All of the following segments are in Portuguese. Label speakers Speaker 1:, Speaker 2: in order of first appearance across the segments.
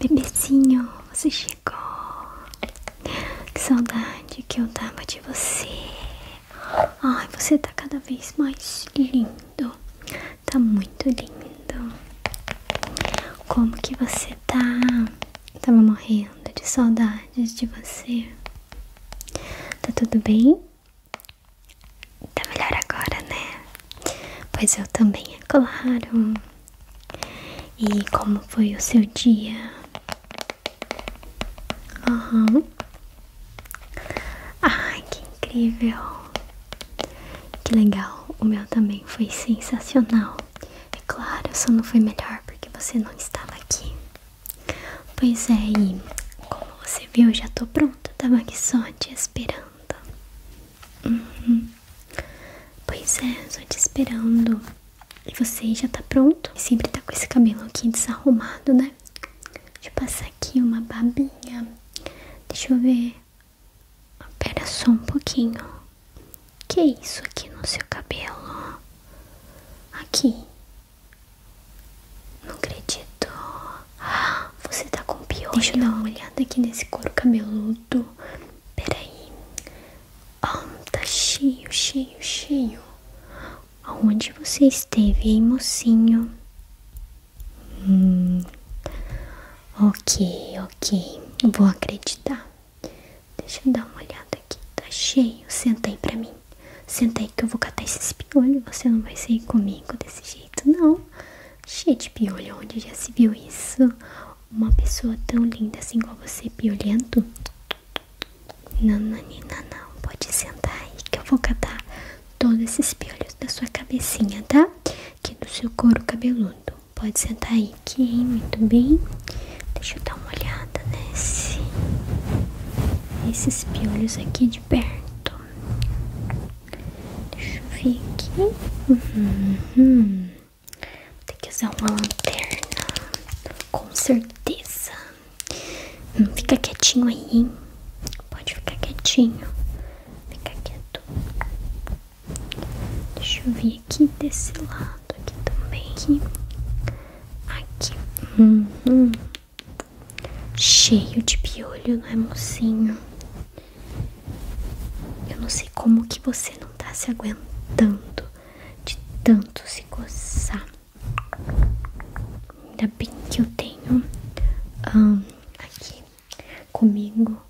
Speaker 1: Bebezinho, você chegou. Que saudade que eu tava de você. Ai, você tá cada vez mais lindo. Tá muito lindo. Como que você tá? tava morrendo de saudades de você. Tá tudo bem? Tá melhor agora, né? Pois eu também, é claro. E como foi o seu dia? Aham. Ai, que incrível. Que legal. O meu também foi sensacional. É claro, só não foi melhor porque você não estava aqui. Pois é, e como você viu, eu já tô pronta. Tava aqui só te esperando. Uhum. Pois é, só te esperando. E você já tá pronto? Sempre tá com esse cabelo aqui desarrumado, né? Deixa eu passar aqui uma babinha. Deixa eu ver. Pera só um pouquinho. Que é isso aqui no seu cabelo? Aqui. Não acredito. Você tá com piolho? Deixa eu dar uma olhada aqui nesse couro cabeludo. Peraí. Oh, tá cheio, cheio, cheio. Aonde você esteve, hein, mocinho? Hum. Ok, ok. Vou acreditar. Deixa eu dar uma olhada aqui. Tá cheio. Senta aí pra mim. Senta aí que eu vou catar esse piolhos. Você não vai sair comigo desse jeito não, cheio de piolho, onde já se viu isso? Uma pessoa tão linda assim como você, piolhento? Não, nanina, não, não. Pode sentar aí que eu vou catar todos esses piolhos da sua cabecinha, tá? que do seu couro cabeludo. Pode sentar aí que, Muito bem. Deixa eu dar uma olhada nesse... Esses piolhos aqui de perto. Deixa eu ver aqui. Uhum. Vou ter que usar uma lanterna. Com certeza. Hum, fica quietinho aí, hein? Pode ficar quietinho. Fica quieto. Deixa eu ver aqui desse lado aqui também. Aqui. Uhum. Cheio de piolho, não é, mocinho? Eu não sei como que você não tá se aguentando de tanto se coçar. Ainda bem que eu tenho aqui comigo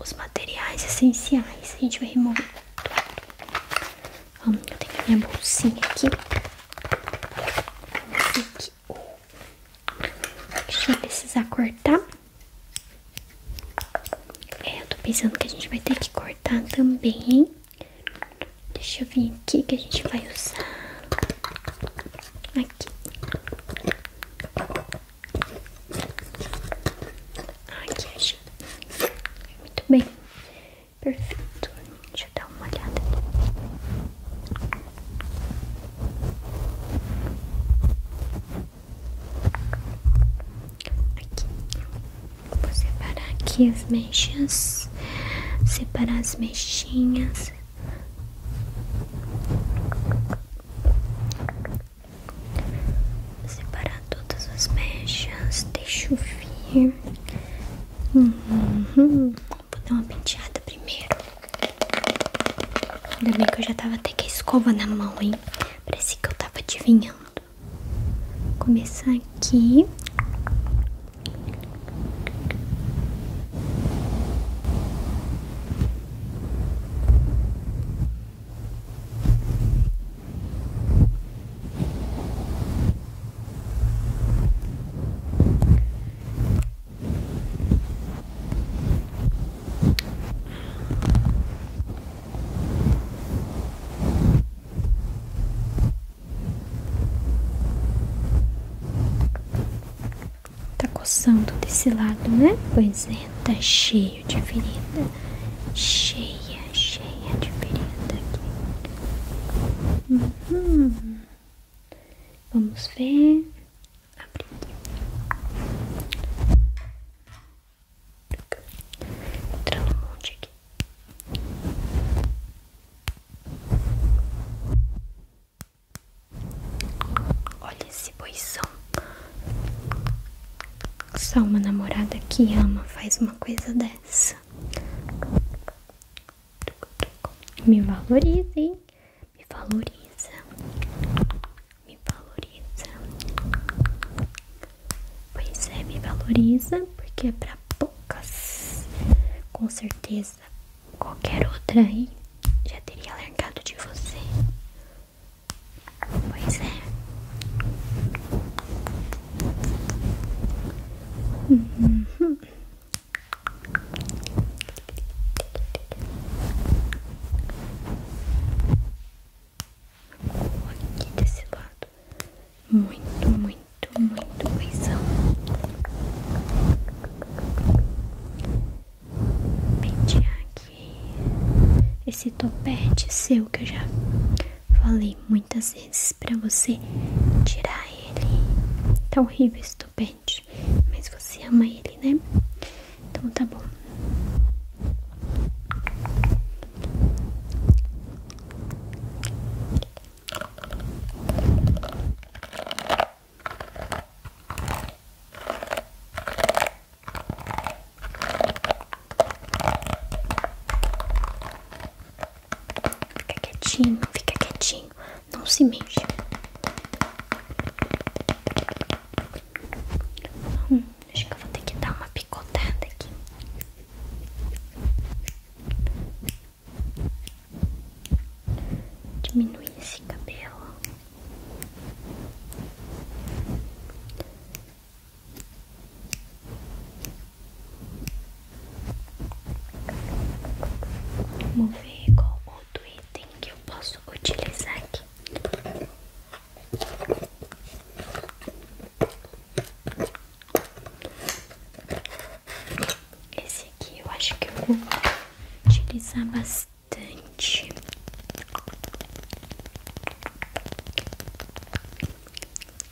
Speaker 1: os materiais essenciais. A gente vai remover tudo. eu tenho minha bolsinha aqui. aqui aqui. A precisar cortar. É, eu tô pensando que a gente vai ter que cortar também, Deixa eu vir aqui que a gente vai usar. Aqui. Aqui, achei. Muito bem. Perfeito. Deixa eu dar uma olhada aqui. Vou separar aqui as mechas. Separar as mechinhas Separar todas as mechas. Deixa eu vir. Uhum. Vou dar uma penteada primeiro. Ainda bem que eu já tava até com a escova na mão, hein? Parecia que eu tava adivinhando. Vou começar aqui. Tá coçando desse lado, né? Pois é, tá cheio de ferida. Cheia, cheia de ferida aqui. Uhum. Vamos ver. Abre aqui. Entrando um monte aqui. Olha esse boição. Só uma namorada que ama faz uma coisa dessa. Me valorizem, me valoriza, me valoriza. Pois é, me valoriza porque é pra poucas. Com certeza, qualquer outra aí já teria largado de você. Pois é. Uhum. Aqui desse lado, muito, muito, muito coisão. Pentear aqui esse topete é seu que eu já falei muitas vezes vezes para você tirar ele. Tá horrível estupente, mas você ama ele, né? Então tá bom. Fica quietinho, fica quietinho. Não se mexe. Hum, acho que eu vou ter que dar uma picotada aqui. Diminui esse cabelo. Vamos ver qual outro item que eu posso utilizar aqui. Esse aqui eu acho que eu vou utilizar bastante.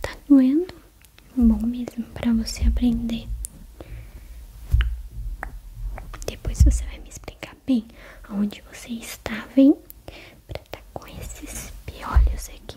Speaker 1: Tá doendo? Bom mesmo para você aprender. Depois você vai me explicar bem aonde você está, vem? Pra estar tá com esses piolhos aqui.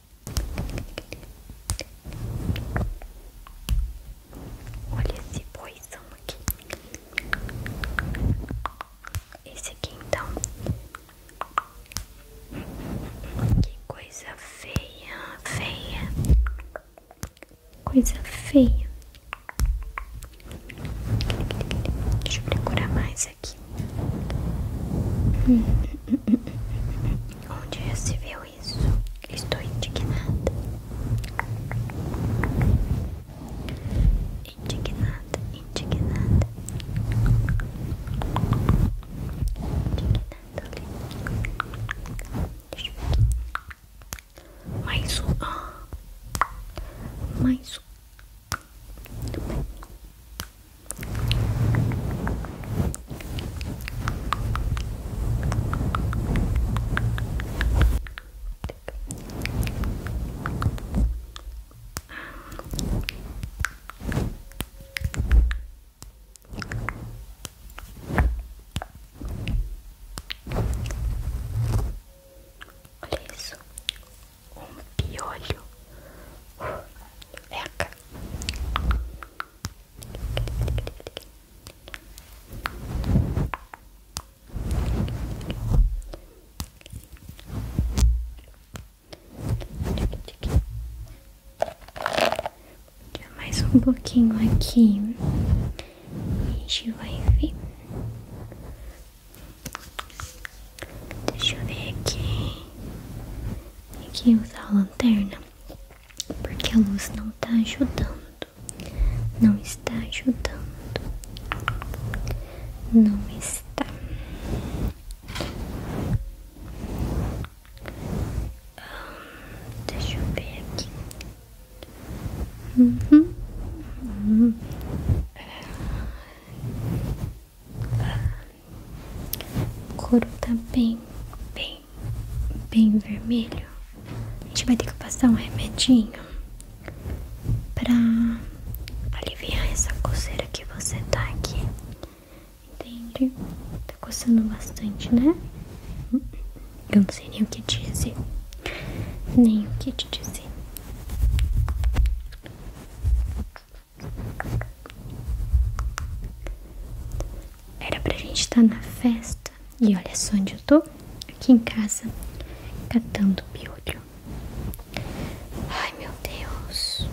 Speaker 1: Olha esse poisão aqui. Esse aqui então. Que coisa feia, feia. Coisa feia. Deixa eu procurar mais Onde já se viu isso? Estou indignada. Indignada, indignada. Indignada ali. Mais um. Ah! Mais um. Olha isso um piolho. Eca. Mais um pouquinho aqui, a gente vai ver Deixa eu ver aqui. Tem que usar a lanterna, porque a luz não está ajudando. Não está ajudando. Não está. Hum, deixa eu ver aqui. Uhum. uhum. O couro tá bem, bem, bem vermelho. A gente vai ter que passar um remedinho pra aliviar essa coceira que você tá aqui. Entende? Tá coçando bastante, né? Eu não sei nem o que te dizer. Nem o que te dizer. Era pra gente estar tá na festa. E olha só onde eu tô. Aqui em casa. Catando piolho. Ai, meu Deus.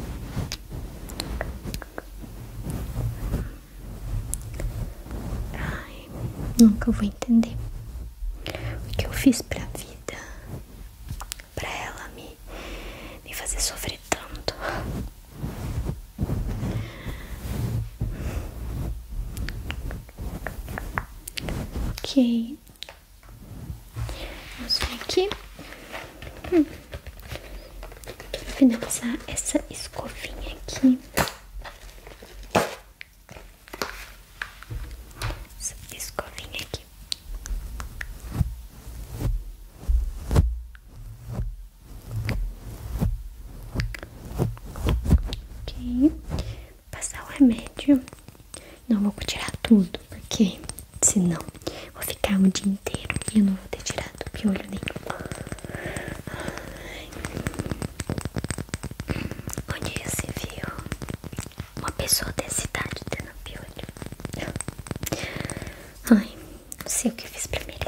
Speaker 1: Ai, nunca vou entender o que eu fiz pra vida pra ela me, me fazer sofrer tanto. Ok, vamos ver aqui hum. finalizar essa escovinha aqui essa escovinha aqui. Ok, passar o remédio. Não vou tirar tudo, porque senão vou ficar o dia inteiro e eu não vou ter tirado piolho nenhum. Onde já se viu uma pessoa dessa idade tendo piolho. Ai, não sei o que fiz pra merecer.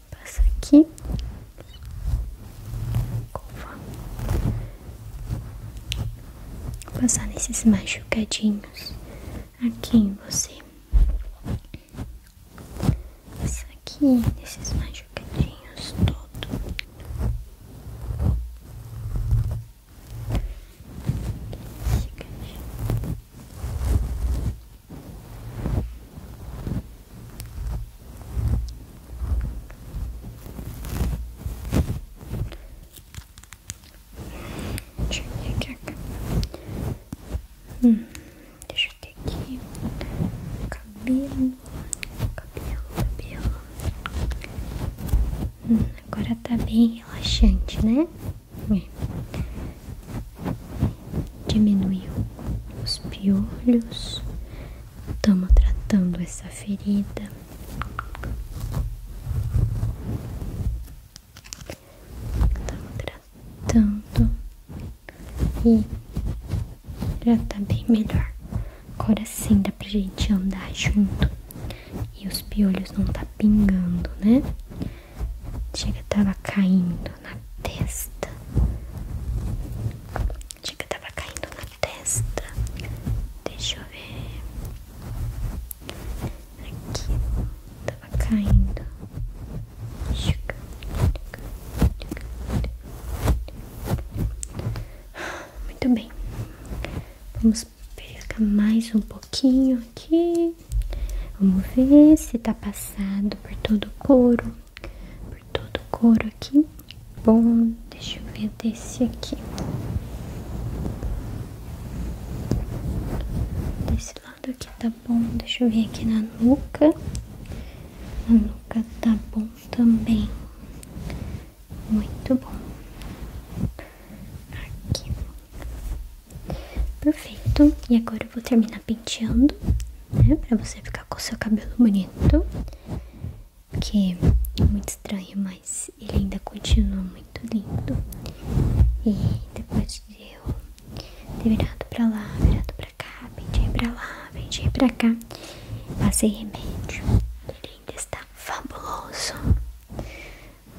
Speaker 1: Passa aqui. Vou passar nesses machucadinhos aqui em você. Passa aqui nesses machucadinhos todo. Deixa eu ver aqui hum, Deixa eu ter aqui cabelo, cabelo, cabelo. Hum, agora tá bem relaxante, né? diminuiu os piolhos. Estamos tratando essa ferida. Estamos tratando e já tá bem melhor. Agora sim dá pra gente andar junto e os piolhos não tá pingando, né? Chega, tava caindo na testa. Achei que tava caindo na testa. Deixa eu ver. Aqui tava caindo. Muito bem. Vamos pegar mais um pouquinho aqui. Vamos ver se tá passado por todo o couro por todo o couro aqui. Bom, deixa eu ver desse aqui. Desse lado aqui tá bom. Deixa eu ver aqui na nuca. A nuca tá bom também. Muito bom. Aqui. Perfeito. E agora eu vou terminar penteando né? Pra você ficar com seu cabelo bonito. que é muito estranho, mas ele ainda continua muito lindo. E depois de eu ter virado pra lá, virado pra cá, pendei pra lá, pendei pra cá, passei remédio. Ele ainda está fabuloso.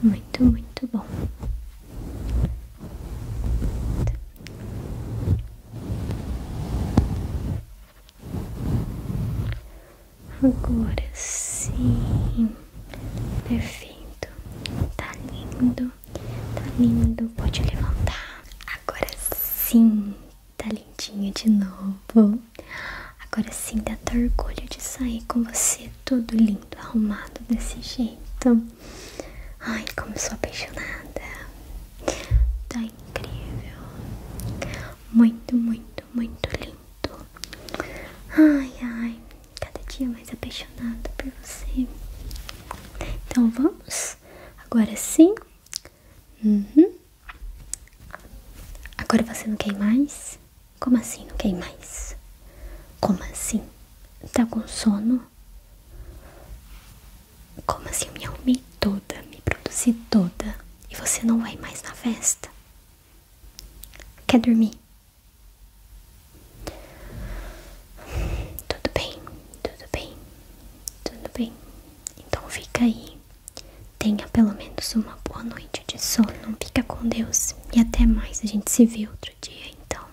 Speaker 1: Muito, muito bom. Agora sim, perfeito, tá lindo, tá lindo. Pode levantar. Agora sim, tá lindinha de novo. Agora sim, dá até orgulho de sair com você todo lindo, arrumado desse jeito. Ai, como sou apaixonada. Tá incrível. Muito, muito, muito lindo. Ai, ai. Cada dia mais apaixonada por você. Então vamos? Agora sim? Uhum. Agora você não quer mais? Como assim não quer mais? Como assim? Tá com sono? Como assim eu me arrumei toda, me produzi toda e você não vai mais na festa? Quer dormir? Tudo bem, tudo bem, tudo bem. Então fica aí. Tenha pelo menos uma boa noite de sono. Fica com Deus. E até mais. A gente se vê outro dia, então.